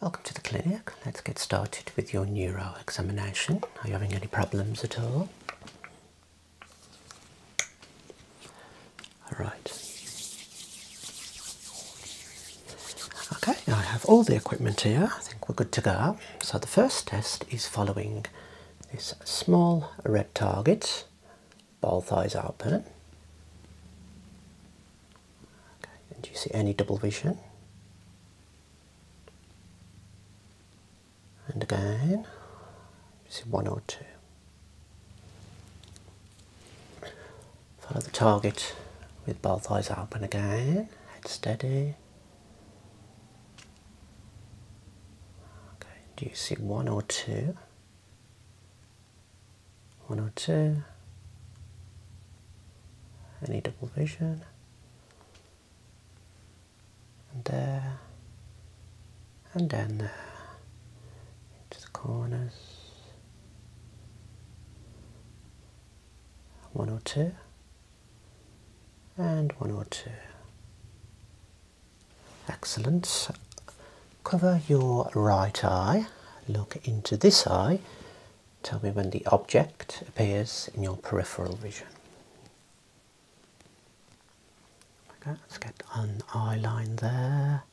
Welcome to the clinic. Let's get started with your neuro examination. Are you having any problems at all? Alright. Okay, I have all the equipment here. I think we're good to go. So the first test is following this small red target, both eyes open and do you see any double vision? And again, you see one or two. Follow the target with both eyes open again, head steady. Okay, do you see one or two? 102, any double vision, and there, and then there, into the corners, 102, and 102. Excellent. Cover your right eye, look into this eye, Tell me when the object appears in your peripheral vision. Okay, let's get an eye line there.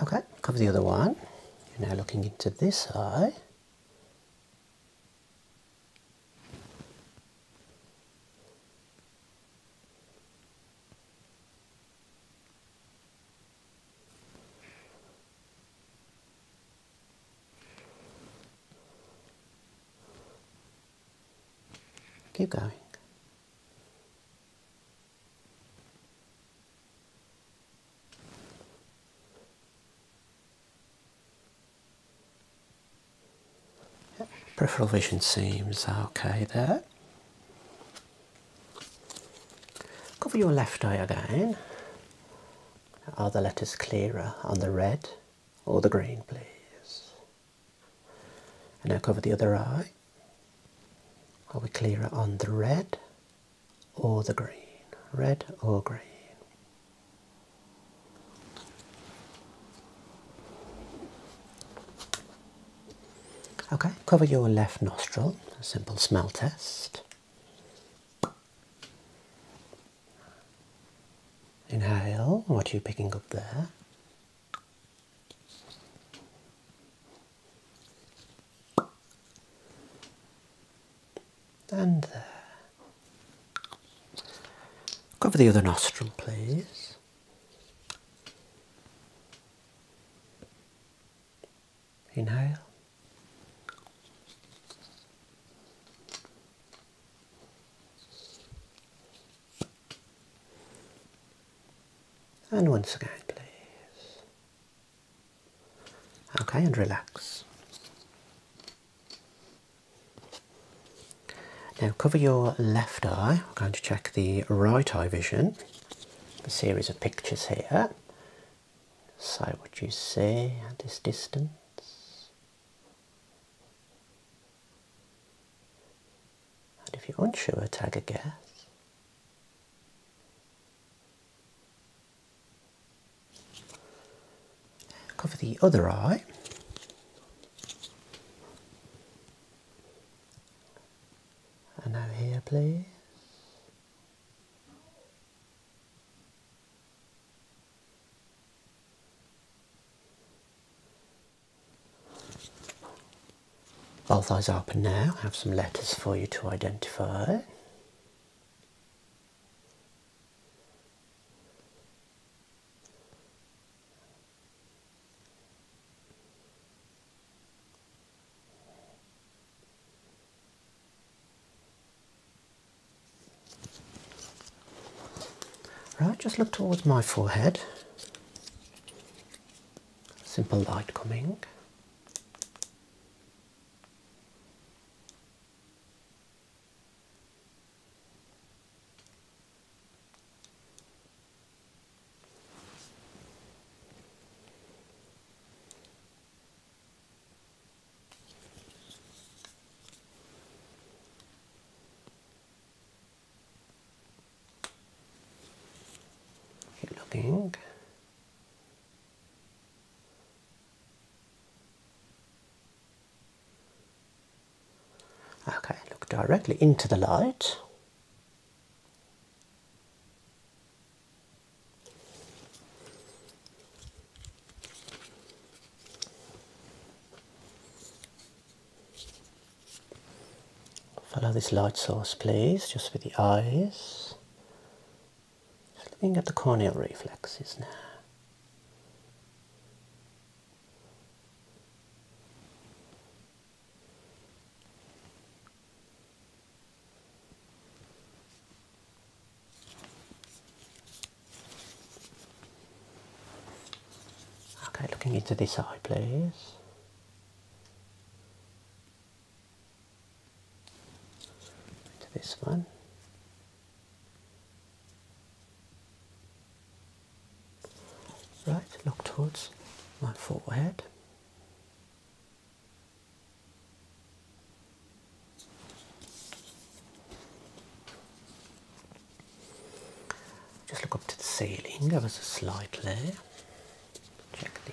Okay, cover the other one. You're now looking into this eye. Keep going. Peripheral vision seems okay there. Cover your left eye again. Are the letters clearer on the red or the green, please? And now cover the other eye. Are we clearer on the red or the green? Red or green? Okay, cover your left nostril, a simple smell test. Inhale, what are you picking up there? And there. Cover the other nostril, please. Inhale. And once again, please. Okay, and relax. Now cover your left eye. I'm going to check the right eye vision. A series of pictures here. Say what you see at this distance. And if you're unsure, tag a guess. Cover the other eye. And now here, please. Both eyes open now. I have some letters for you to identify. Right, just look towards my forehead. Simple light coming looking. Okay, look directly into the light. Follow this light source, please, just with the eyes. looking at the corneal reflexes now. Okay, looking into this eye, please. Into this one. Right, look towards my forehead. Just look up to the ceiling, a slight layer. Check the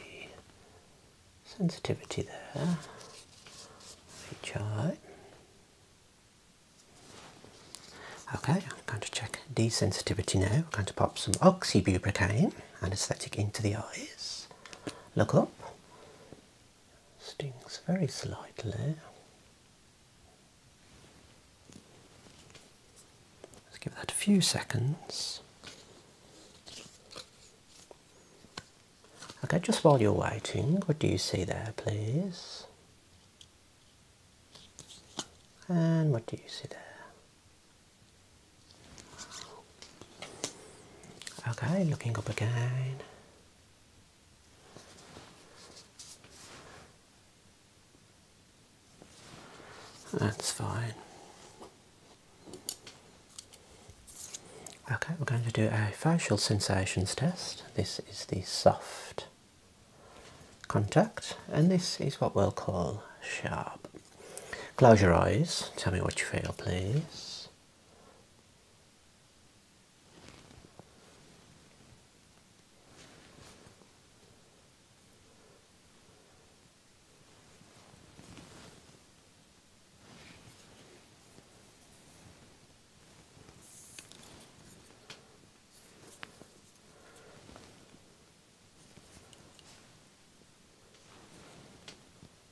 sensitivity there. Each Okay, I'm going to check desensitivity now. I'm going to pop some oxybuprocaine anesthetic into the eyes look up. Stings very slightly. Let's give that a few seconds. Okay, just while you're waiting, what do you see there, please? And what do you see there? Okay, looking up again. That's fine. Okay, we're going to do a facial sensations test. This is the soft contact, and this is what we'll call sharp. Close your eyes. Tell me what you feel, please.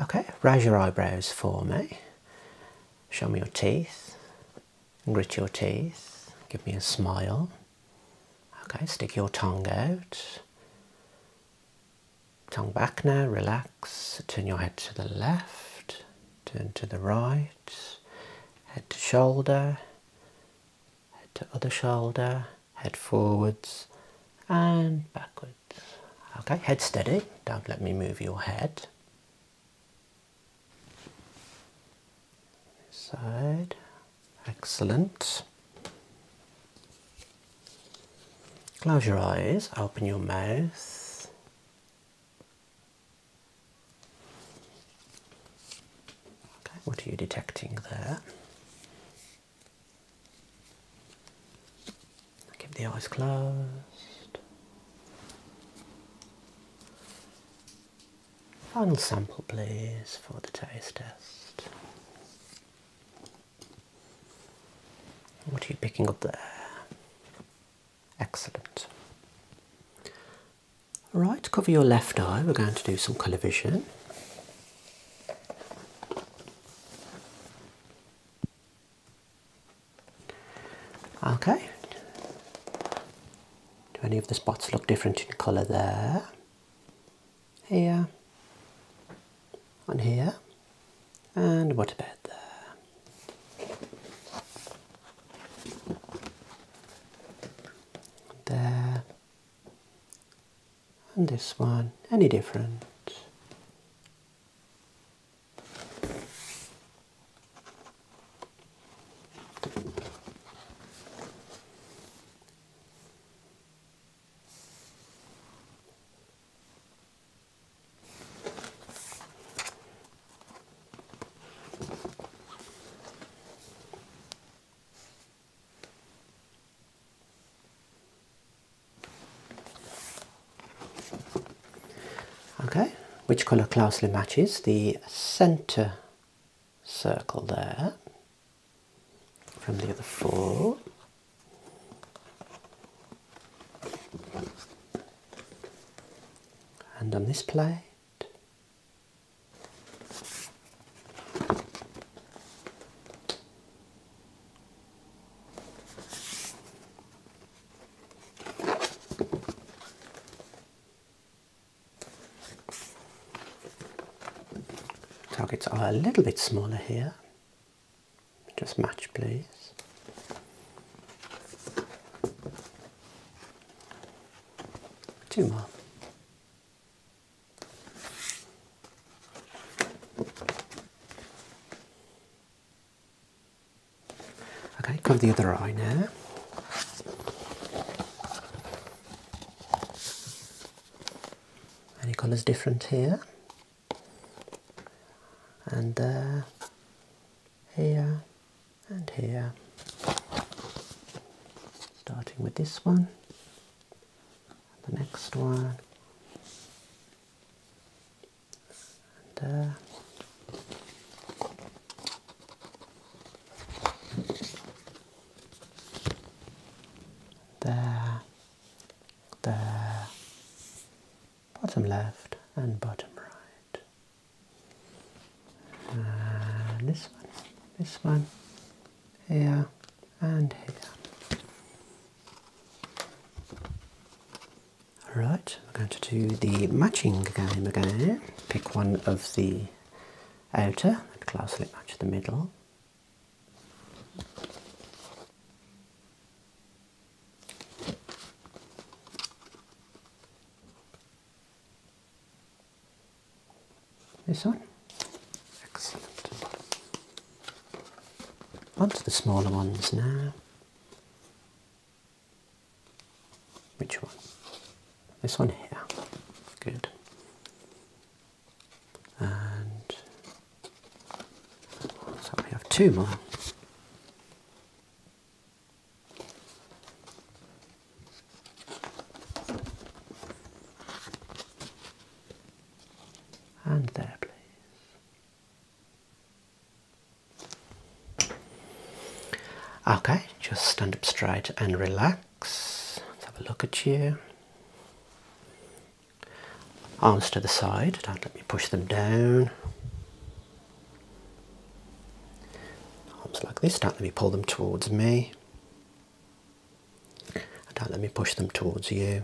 Okay, raise your eyebrows for me. Show me your teeth. Grit your teeth. Give me a smile. Okay, stick your tongue out. Tongue back now, relax. Turn your head to the left, turn to the right, head to shoulder, head to other shoulder, head forwards and backwards. Okay, head steady, don't let me move your head. side, excellent. Close your eyes, open your mouth. Okay, what are you detecting there? Keep the eyes closed. Final sample please for the taste test. What are you picking up there? Excellent. Right, cover your left eye. We're going to do some colour vision. Okay. Do any of the spots look different in colour there? Here. On here. And what about there? There and this one any different Okay, which colour closely matches the centre circle there from the other four. And on this plate, Targets are a little bit smaller here. Just match, please. Two more. Okay, cover the other eye now. Any colours different here? And there, uh, here, and here. Starting with this one, the next one and, uh, there, there, bottom left and bottom right. And this one, this one, here, and here. Alright, we're going to do the matching game again. Pick one of the outer and closely match the middle. This one? Excellent. On to the smaller ones now. Which one? This one here. Good. And so we have two more. And there, please. Okay, just stand up straight and relax. Let's have a look at you. Arms to the side, don't let me push them down. Arms like this, don't let me pull them towards me do let me push them towards you.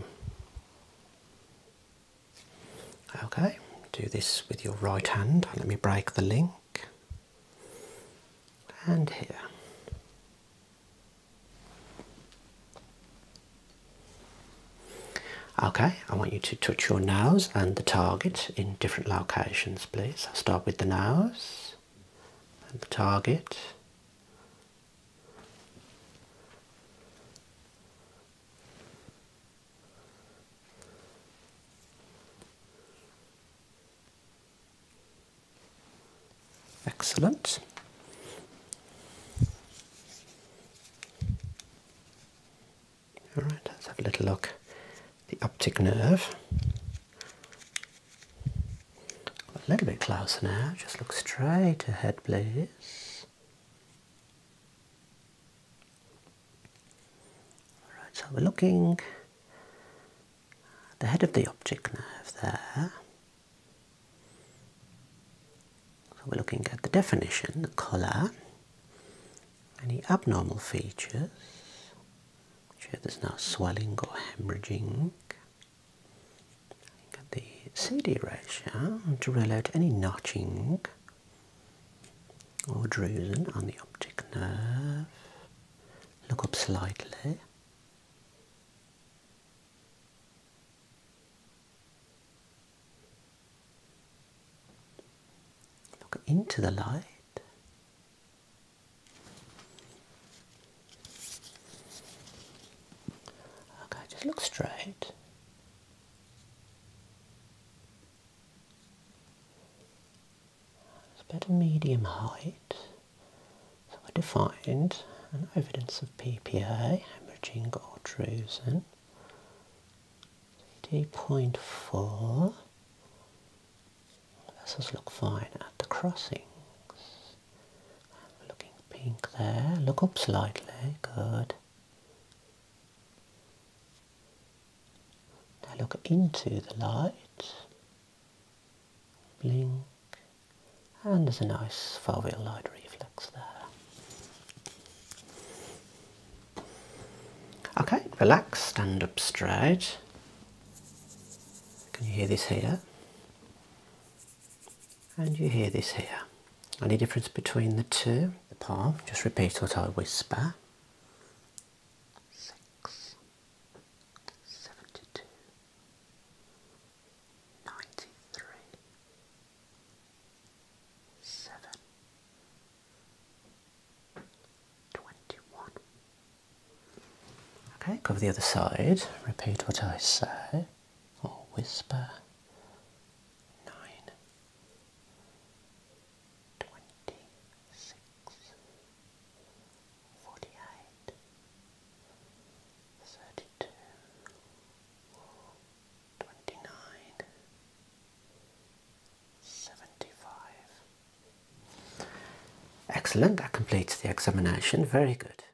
Okay, do this with your right hand. Let me break the link. And here. Okay, I want you to touch your nose and the target in different locations, please. I'll start with the nose and the target Excellent. All right, let's have a little look. The optic nerve. A little bit closer now, just look straight ahead, please. Alright, so we're looking at the head of the optic nerve there. So we're looking at the definition, the colour, any abnormal features. Sure, there's no swelling or hemorrhaging. At the CD ratio to rule out any notching or drusen on the optic nerve. Look up slightly. Look into the light. Okay, just look straight. It's about a medium height. So I defined an evidence of PPA, hemorrhaging or drusen, D.4. Vessels look fine at the crossings. Looking pink there. Look up slightly. Good. Now look into the light. Blink. And there's a nice foveal light reflex there. Okay, relax, stand up straight. Can you hear this here? and you hear this here. Any difference between the two? The palm, just repeat what I whisper. Six, seventy-two, ninety-three, seven, twenty-one. Okay, cover the other side, repeat what I say or whisper nine twenty six forty eight thirty two twenty nine seventy five. Excellent, that completes the examination. Very good.